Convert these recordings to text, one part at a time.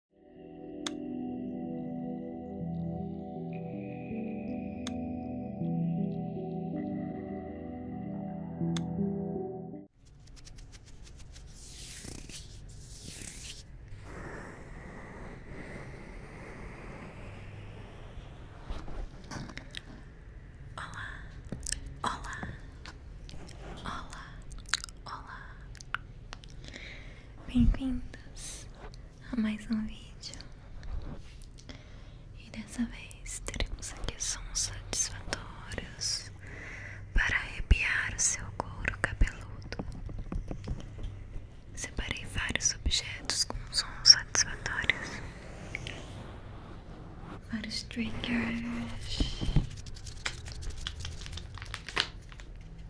Olá, olá, olá, olá. Bem-vindos a mais um vídeo E dessa vez teremos aqui sons satisfatórios Para arrepiar o seu couro cabeludo Separei vários objetos com sons satisfatórios Vários triggers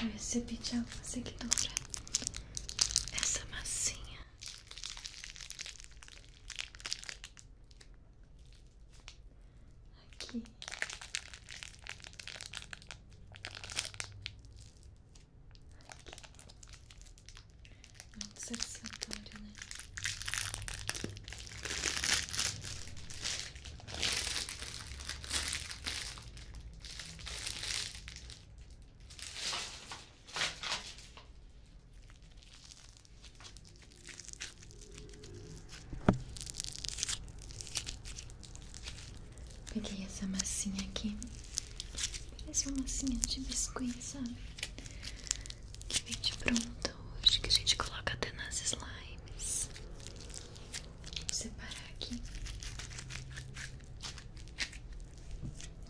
Eu recebi de alguma essa massinha. Aqui. Aqui. é Muito satisfatório, né? Peguei essa massinha aqui. Parece uma massinha de biscoito sabe? Que vem de pronta hoje, que a gente coloca até nas slimes. Vou separar aqui.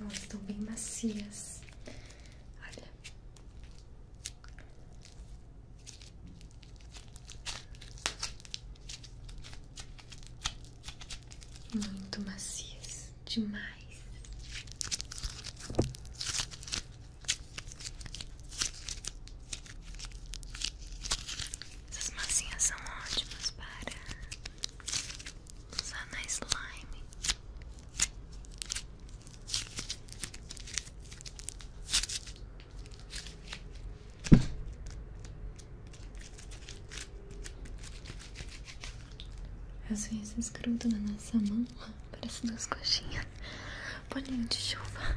Elas estão bem macias. Olha. Muito macias, demais. Essas massinhas são ótimas para só na slime. As Às vezes gruda na nossa mão, parece duas coxinhas, bolinho de chuva.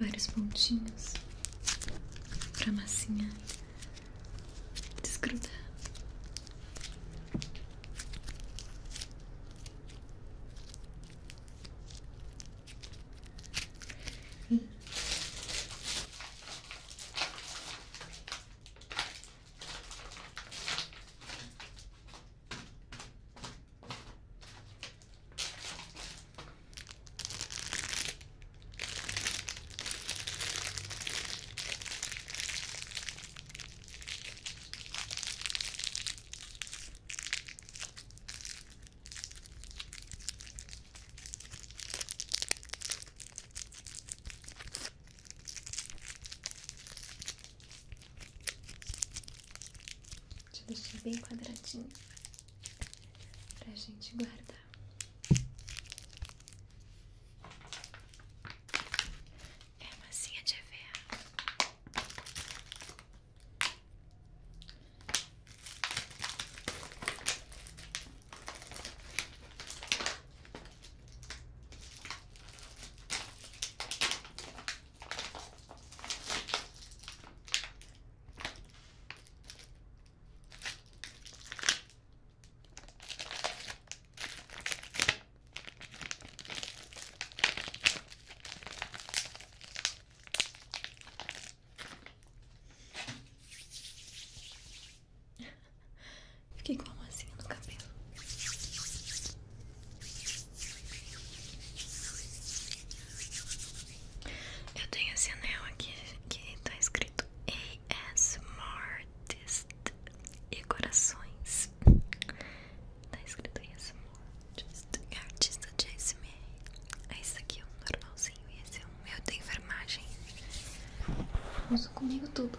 vários pontinhos pra massinha desgrudar. Deixa bem quadradinho pra gente guardar. É a massinha de EVA. Fiquei com a massinha no cabelo. Eu tenho esse anel aqui que tá escrito AS Mortist e corações. Tá escrito AS Mortist, é artista de ASMR. É esse aqui é um normalzinho e esse é um Eu tenho enfermagem. Uso comigo tudo.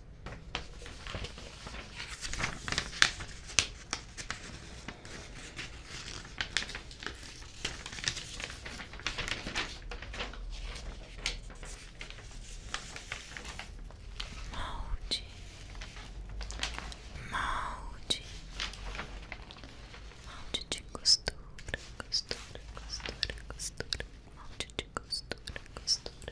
Molde, molde, molde de costura, costura, costura, costura, molde de costura, costura.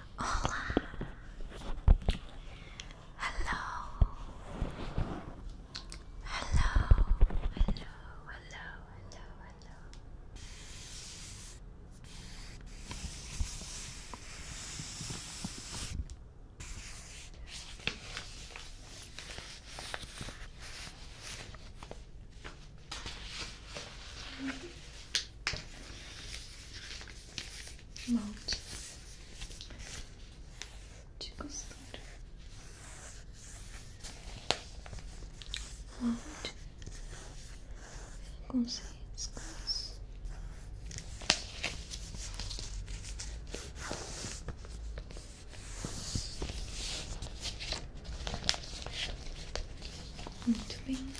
Hola. Hello. Hello. Hello. Hello. Hello. Hello. Hello. moldes de costura, molde com riscos. Muito bem. Olha.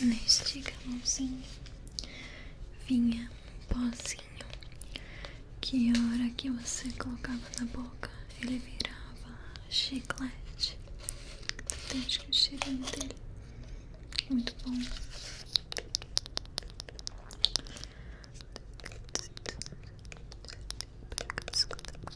Neste galãozinho vinha um pozinho que a hora que você colocava na boca ele virava chiclete. Então, acho que o cheirinho dele é muito bom.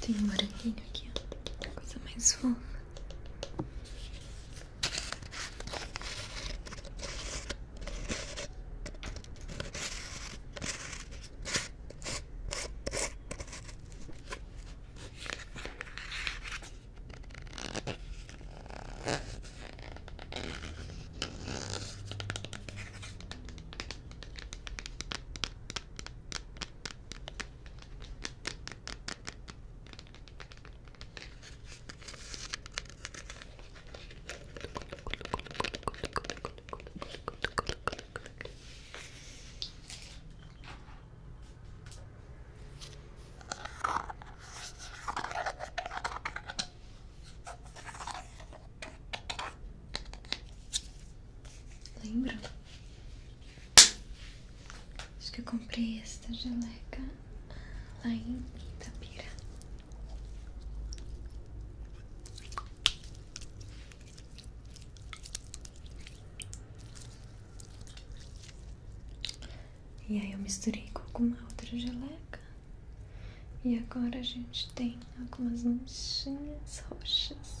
Tem um moranguinho aqui, ó. Coisa mais fofa. Lembra? Acho que eu comprei esta geleca lá em Itapira. E aí eu misturei com alguma outra geleca. E agora a gente tem algumas manchinhas roxas.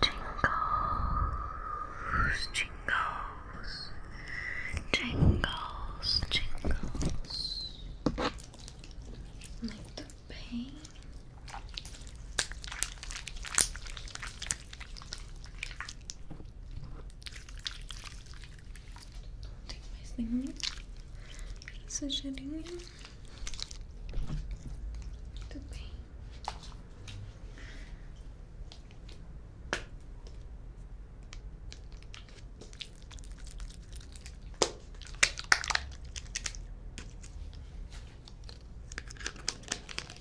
Jingles, jingles, jingles, jingles. Like the pain. Não tem mais nenhum sujeirinho. Muito bem.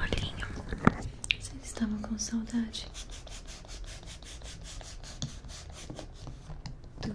Olhinho, vocês estavam com saudade do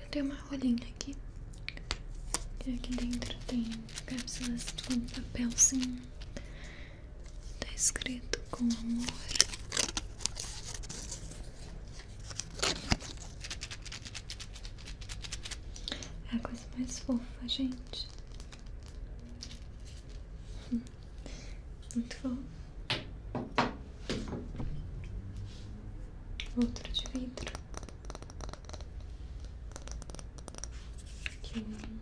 Eu tenho uma rolinha aqui. E é aqui dentro tem cápsulas com papelzinho. Tá escrito com amor. É a coisa mais fofa, gente. Muito bom. Outro de vidro. Aqui um.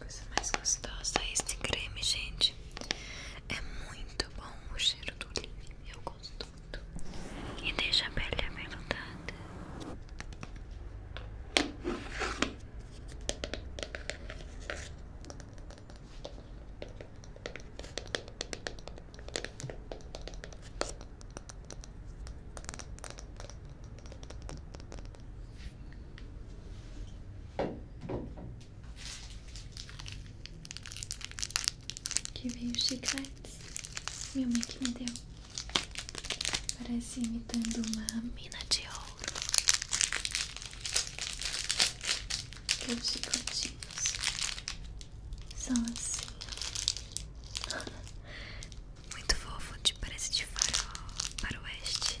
Coisa mais gostosa é esse creme, gente. É muito bom o cheiro do livro. Eu gosto muito. E deixa a pele aveludada. Que veio chicletes. Minha mãe que me deu. Parece imitando uma mina de ouro. Que é os chicletinhos são assim. Muito fofo, de, parece de farol para oeste.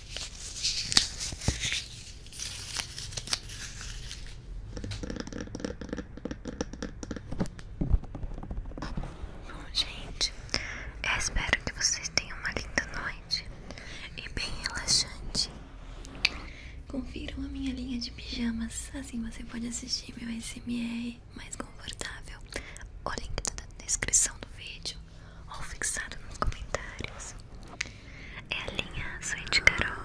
Bom, gente, espero que vocês tenham uma linda noite e bem relaxante. Confiram a minha linha de pijamas, assim você pode assistir meu SMR mais confortável. O link tá na descrição do vídeo ou fixado nos comentários. É a linha Suíte Carol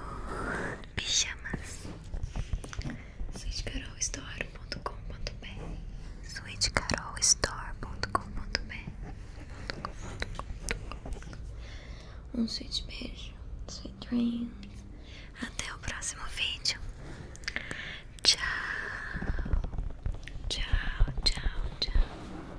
Pijamas suitecarolstore.com.br suitecarolstore.com.br Um suíte beijo, sweet dreams Até o próximo vídeo Tchau Tchau, tchau, tchau